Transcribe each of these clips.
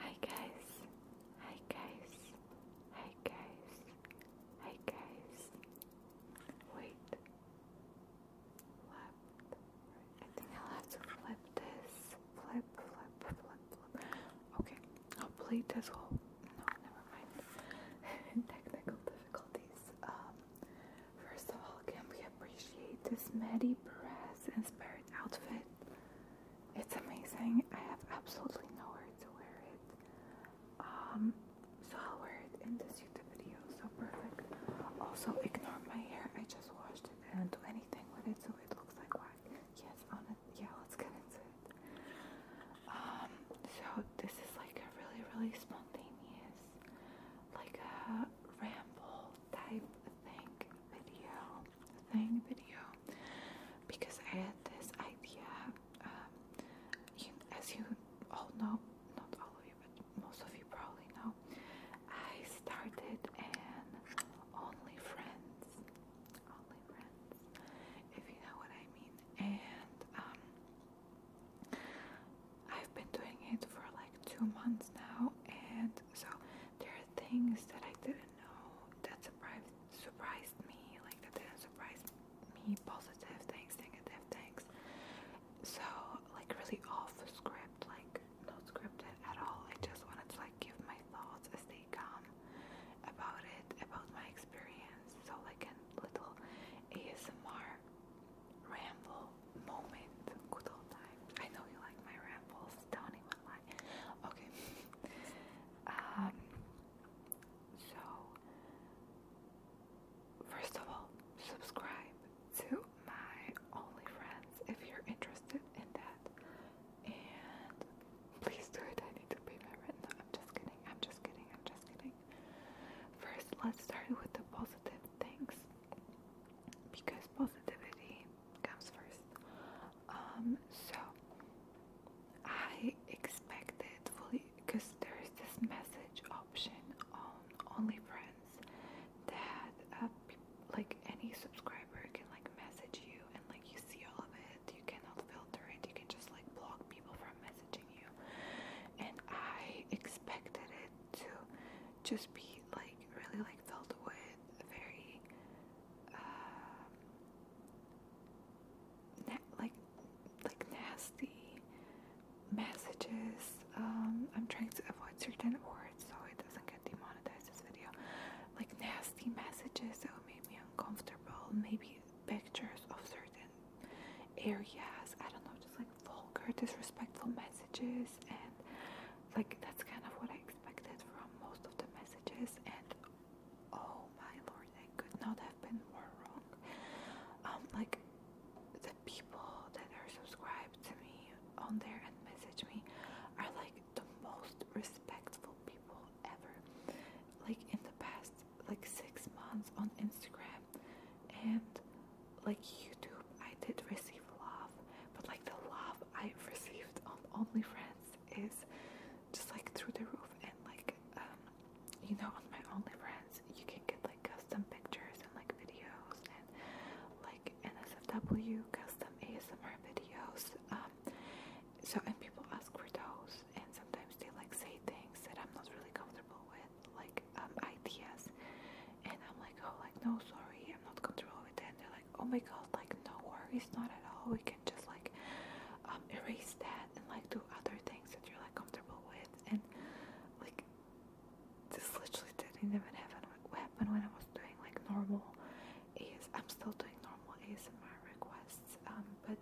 Hi guys, hi guys, hi guys, hi guys. Wait, flip. I think I'll have to flip this. Flip, flip, flip, flip. Okay, I'll play this whole. No, never mind. Technical difficulties. Um, First of all, can we appreciate this Maddie Perez inspired outfit? It's amazing. I have absolutely nowhere to wear it. Um, so I'll wear it in this YouTube video. So perfect. Also, ignore my hair. I just washed it. I do not do anything with it, so it looks like whack. Yes, Yeah, let's get into it. Um, so this is like a really, really spontaneous, like a uh, ramble type thing video thing video because I had this idea um, as you all know not all of you but most of you probably know I started and only friends only friends if you know what I mean and um I've been doing it for like two months now, and so there are things that I didn't know that surprised surprised me, like that didn't surprise me. Positive things, negative things. So like really off script, like no scripted at all. I just wanted to like give my thoughts as they come about it, about my experience. So like a little ASMR ramble moment. Good old times. I know you like my rambles. Don't even lie. Okay. Um. So, first of all, subscribe to my Only Friends if you're interested in that, and please do it. I need to pay my rent. No, I'm just kidding. I'm just kidding. I'm just kidding. First, let's start with the positive things because positivity comes first. Um, so I expected fully because there is this message option on only friends that uh, like any subscriber can like message you and like you see all of it. You cannot filter it. You can just like block people from messaging and I expected it to just be like really like filled with very uh, like like nasty messages. Um, I'm trying to avoid certain words so it doesn't get demonetized. This video, like nasty messages that would make me uncomfortable. Maybe pictures of certain areas. I don't know, just like vulgar, disrespectful messages, and like that's kind of what I expected from most of the messages. And oh my lord, I could not have been more wrong. Um, like the people that are subscribed to me on there and message me are like the most respectful people ever. Like in the past like six months on Instagram and like YouTube I did receive love but like the love I received on OnlyFriends is just like through the roof and like um you know on my OnlyFriends you can get like custom pictures and like videos and like NSFW custom ASMR videos um so and people ask for those and sometimes they like say things that I'm not really comfortable with like um, ideas, and I'm like, oh, like no, sorry, I'm not comfortable with that. they're like, oh my god, like no worries, not at all. We can just like um, erase that and like do other things that you're like comfortable with. And like this literally didn't even happen happen when I was doing like normal AS. I'm still doing normal ASMR requests, um, but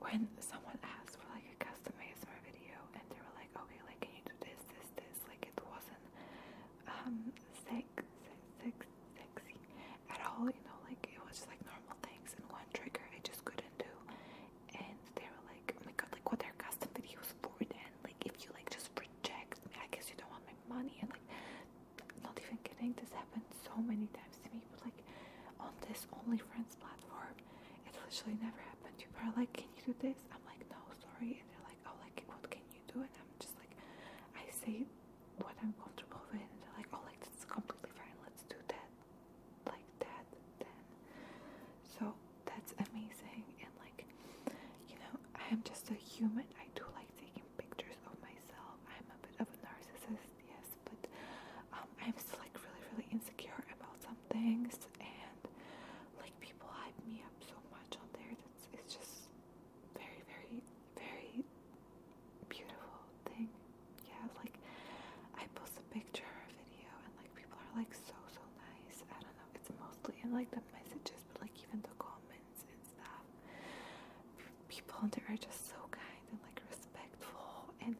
when someone asked for like a custom ASMR video and they were like, okay, like can you do this, this, this? Like it wasn't um sex, sex, sex sexy at all, you know, like it was just like normal things and one trigger I just couldn't do. And they were like, oh my god, like what are custom videos for then? Like if you like just reject me, I guess you don't want my money and like not even kidding, this happened so many times to me, but like on this only friends platform, it literally never happened. you are like, "Can you do this?" I'm like, "No, sorry." And they're like, "Oh, like what can you do?" And I'm just like, I say what I'm comfortable with, and they're like, "Oh, like that's completely fine. Let's do that, like that." Then, so that's amazing, and like, you know, I am just a human. I do like taking pictures of myself. I'm a bit of a narcissist, yes, but um, I'm still like really, really insecure about some things, and like people hype me up so much on there. That's it's just very, very, very beautiful thing. Yeah, like I post a picture or a video, and like people are like so, so nice. I don't know. It's mostly in like the messages, but like even the comments and stuff people there are just so kind and like respectful. And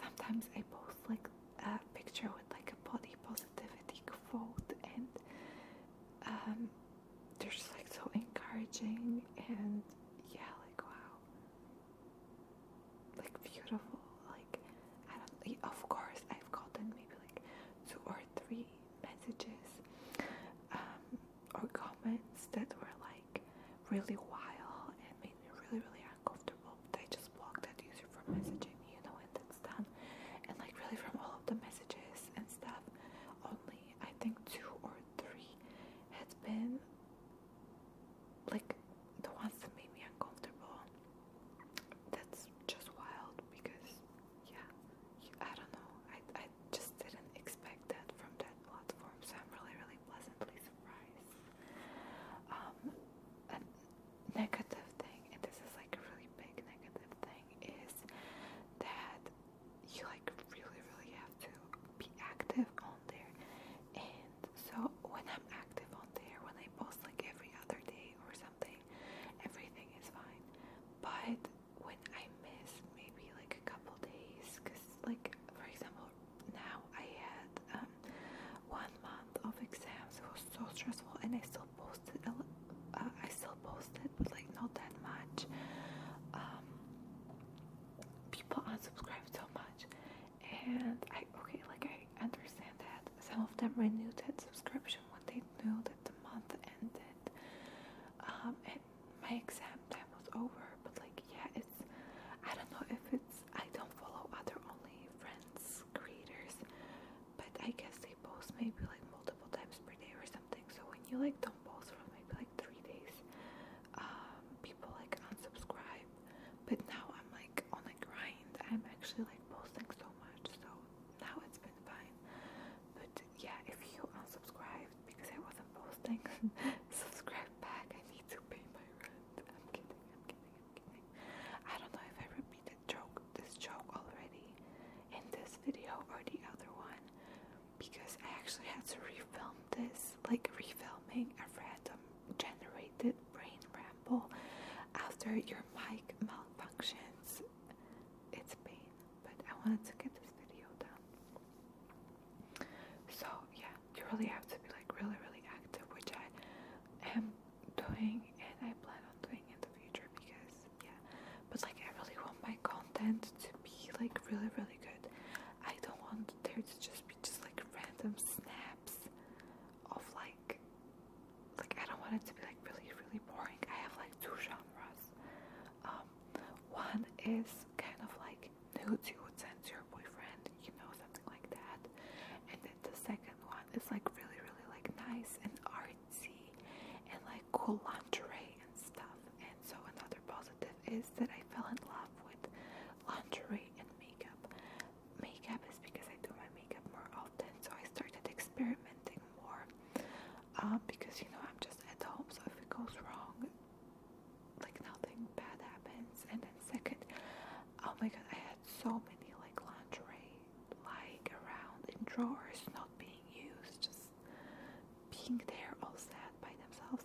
sometimes I post like a picture with like a body positivity quote, and um, they're just like so encouraging and yeah, like wow, like beautiful. Like I don't, of course, I've gotten maybe like two or three messages. Um, or comments that were like really wild and made me really really uncomfortable They just blocked that user from messaging me you know and that's done and like really from all of the messages and stuff only I think two or three had been like the ones that made me uncomfortable that's just wild because yeah I don't know I I just didn't expect that from that platform, so I'm really, really pleasantly surprised. Um, negative thing, and this is like a really big negative thing, is that you like really, really have to be active on there. And so when I'm active on there, when I post like every other day or something, everything is fine. But when I miss maybe like a couple days, because like for example now I had um, one month of exams. It was so stressful, and I still posted. A uh, I still posted, but like not that much. Um, people unsubscribed so much, and I okay, like I understand that some of them renewed that subscription when they knew that the month ended. Um, and my exam time was over, but like yeah, it's I don't know if it's I don't follow other only friends creators, but I guess they post maybe like multiple times per day or something. So when you like don't post for maybe like three days, um, people like unsubscribe. But now I'm like on a grind. I'm actually like posting so much, so now it's been fine. But yeah, if you unsubscribed because I wasn't posting, subscribe back. I need to pay my rent. I'm kidding, I'm kidding, I'm kidding. I don't know if I repeated joke this joke already in this video or the other one because I actually had to refilm this, like refilming a random generated brain ramble after your mic malfunctions. It's pain but I wanted to get this video done. So yeah, you really have to be like really really active, which I am doing and I plan on doing in the future because yeah. But like I really want my content to be like really really good. I don't want there to just be just like random snaps of like like I don't want it to be like really really boring. I have like two genres um, one is kind of like nude, you would send to your boyfriend, you know, something like that. And then the second one is like really, really like nice and artsy and like cool lingerie and stuff. And so another positive is that I fell in love with lingerie and makeup. Makeup is because I do my makeup more often, so I started experimenting more um, because you know I'm just at home so if it goes wrong like nothing bad happens and then second oh my god I had so many like lingerie lying around in drawers not being used just being there all sad by themselves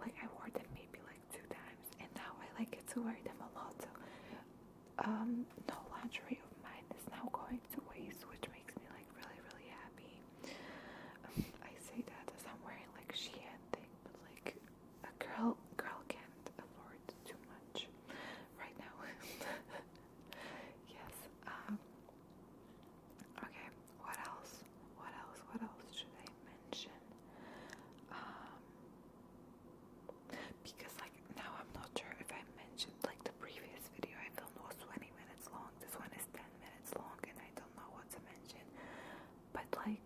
like I wore them maybe like two times and now I like get to wear them a lot so um, no lingerie of mine is now going to waste which makes makes me like really, really happy. I say that as I'm wearing like Shein thing, but like a girl, girl can't afford too much right now. yes. Um, okay. What else? What else? What else should I mention? Um. Because now I'm not sure if I mentioned like the previous video I filmed was 20 minutes long. This one is 10 minutes long and I don't know what to mention. But like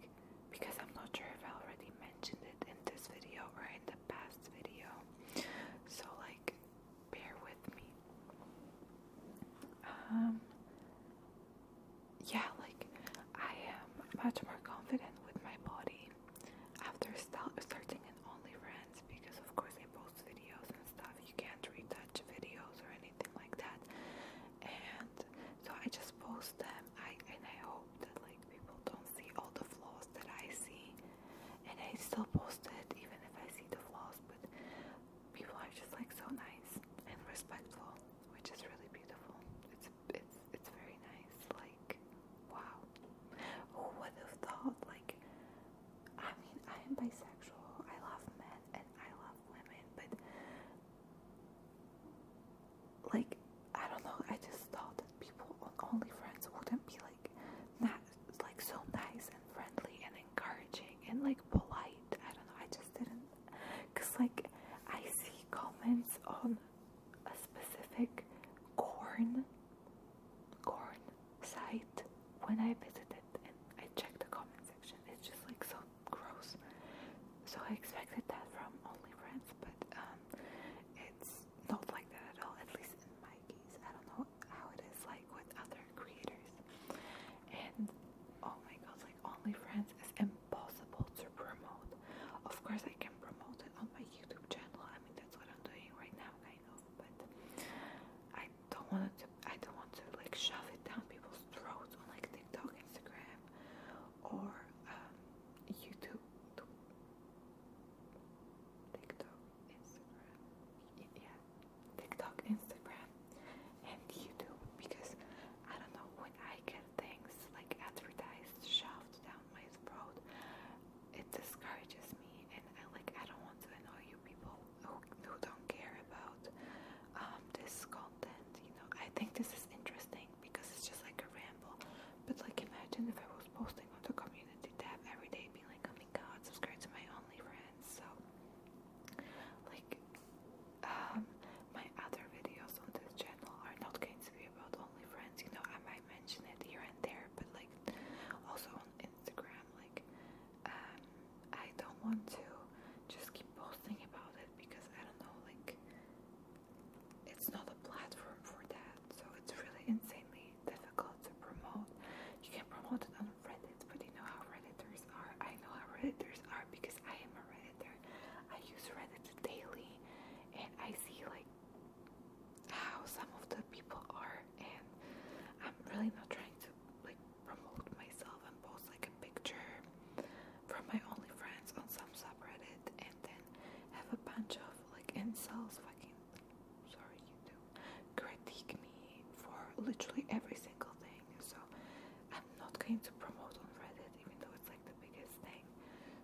because I'm not sure if I already mentioned it in this video or in the past video. So like bear with me. Um yeah, like I am much more confident with my body after starting an only OnlyFans because of course they post videos and stuff. You can't retouch videos or anything like that. And so I just post them. I and I hope that like people don't see all the flaws that I see. And I still post it even if I see the flaws, but people are just like so nice and respectful, which is really beautiful. It's it's it's very nice. Like wow. Who would have thought like I mean, I am bisexual. I love men and I love women, but like I don't know. I just thought that people on friends wouldn't be like not like so nice and friendly and encouraging and like polite. I don't know. I just didn't, cause like I see comments on a specific corn corn site when I visited and I checked the comment section. It's just like so gross. So I expected that from OnlyFriends, but um, it's not like that at all, at least in my case. I don't know how it is like with other creators. And oh my god, like OnlyFriends is impossible to promote. Of course, I can promote it on my YouTube channel. I mean, that's what I'm doing right now, guys. I but I don't want to. I don't want to like shove it down people's throats on like TikTok, Instagram, or um, YouTube. TikTok, Instagram, yeah, TikTok, Instagram, and YouTube because I don't know when I get things like advertised shoved down my throat, it discourages me and I like I don't want to annoy you people who, who don't care about um, this content you know I think this is interesting because it's just like a ramble but like imagine if I was posting on the community tab every day being like oh my god subscribe to my only friends so like um my other videos on this channel are not going to be about only friends you know i might. I mention it here and there, but like also on Instagram, like um, I don't want to just keep posting about it because I don't know, like it's not a platform for that. So it's really insanely difficult to promote. You can promote it on Reddit, but you know how Redditors are. I know how Redditors are because I am a Redditor. I use Reddit daily, and I see like how some of the people are, and I'm really not trying to like promote myself and post like a picture from my only friends on some subreddit and then have a bunch of like insults. fucking sorry you critique me for literally every single thing. So I'm not going to promote on Reddit even though it's like the biggest thing.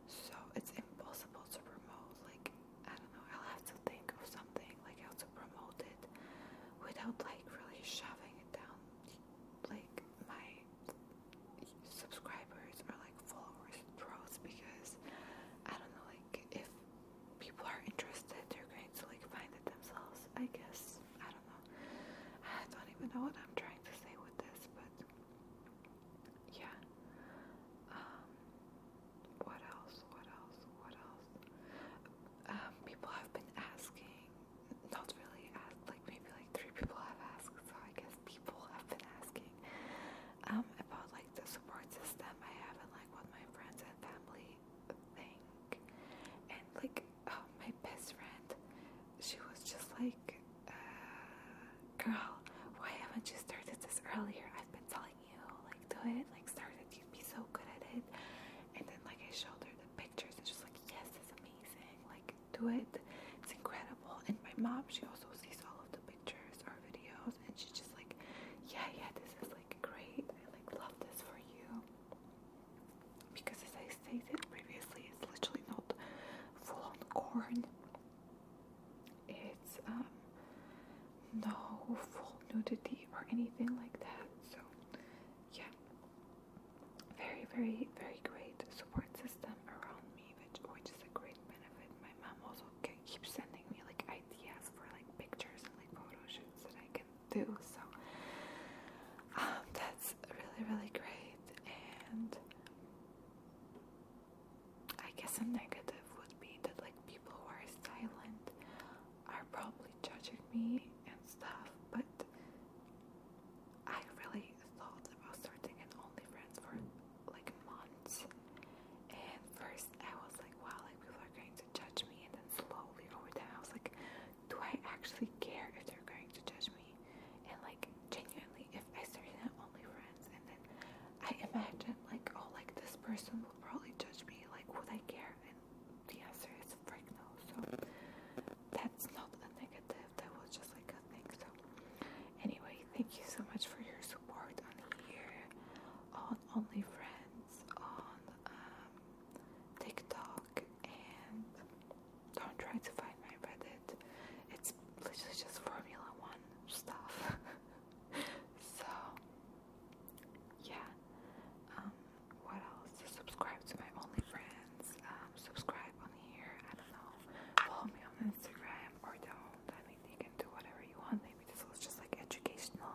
So it's impossible to promote, like, I don't know, I'll have to think of something, like how to promote it without, like, really shoving it down, like, my subscribers or, like, followers' throats because, I don't know, like, if people are interested, they're going to, like, find it themselves, I guess. I don't know. I don't even know what I'm trying to say with this, but yeah. Um, what else? What else? What else? Um, people have been asking, not really asked, like maybe like three people have asked, so I guess people have been asking um, about like the support system I have and like what my friends and family think. And like, oh, my best friend she was just like, uh, girl, why haven't you started this earlier? I've been telling you, like, do it, like, started, you'd be so good at it. And then, like, I showed her the pictures, and she's like, yes, it's amazing, like, do it, it's incredible. And my mom, she also sees all of the pictures or videos, and she's just like, yeah, yeah, this is like great, I like love this for you. Because as I stated previously, it's literally not full on corn it's um, no full nudity or anything like that. So, yeah, very, very, very great support system around me, which which is a great benefit. My mom also keeps sending me like ideas for like pictures and like photo shoots that I can do. So, um, that's really, really great, and I guess a negative would be that like people who are silent are probably judging me and stuff, but I really thought about starting an only friend for like months. And first I was like, wow, like people are going to judge me, and then slowly over time I was like, do I actually care if they're going to judge me and like genuinely, if I started only friends, and then I imagine like, oh, like this person will probably judge me. Like, would I care? And the answer is frick no. So that's not a negative. That was just like a thing. So anyway, thank you so much for your support on here, on only friends, on um, TikTok, and don't try to find my Reddit. It's literally just Formula One stuff. so yeah. Um, what else? subscribe to my OnlyFriends. Um, subscribe on here. I don't know. Follow me on Instagram or don't. I mean, you can do whatever you want. Maybe this was just like educational.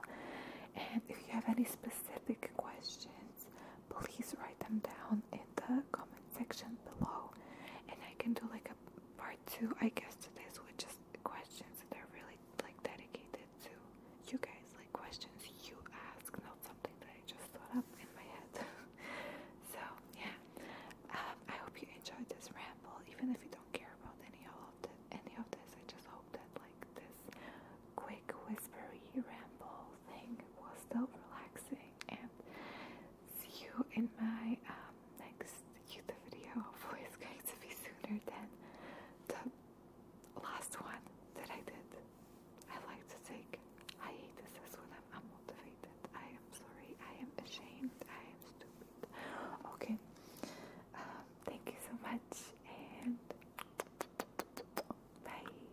And if you have any specific questions, please write them down in the comment section below and I can do like a part two I guess to this with just questions that are really like dedicated to you guys like questions you ask not something that I just thought up in my head so yeah um, I hope you enjoyed this ramble even if you don't care about any of the, any of this I just hope that like this quick whispery ramble thing was still relaxing and see you in my um, next YouTube video. Hopefully it's going to be sooner than the last one that I did. I like to take this when I'm unmotivated. I am sorry. I am ashamed. I am stupid. Okay. Um, thank you so much and bye.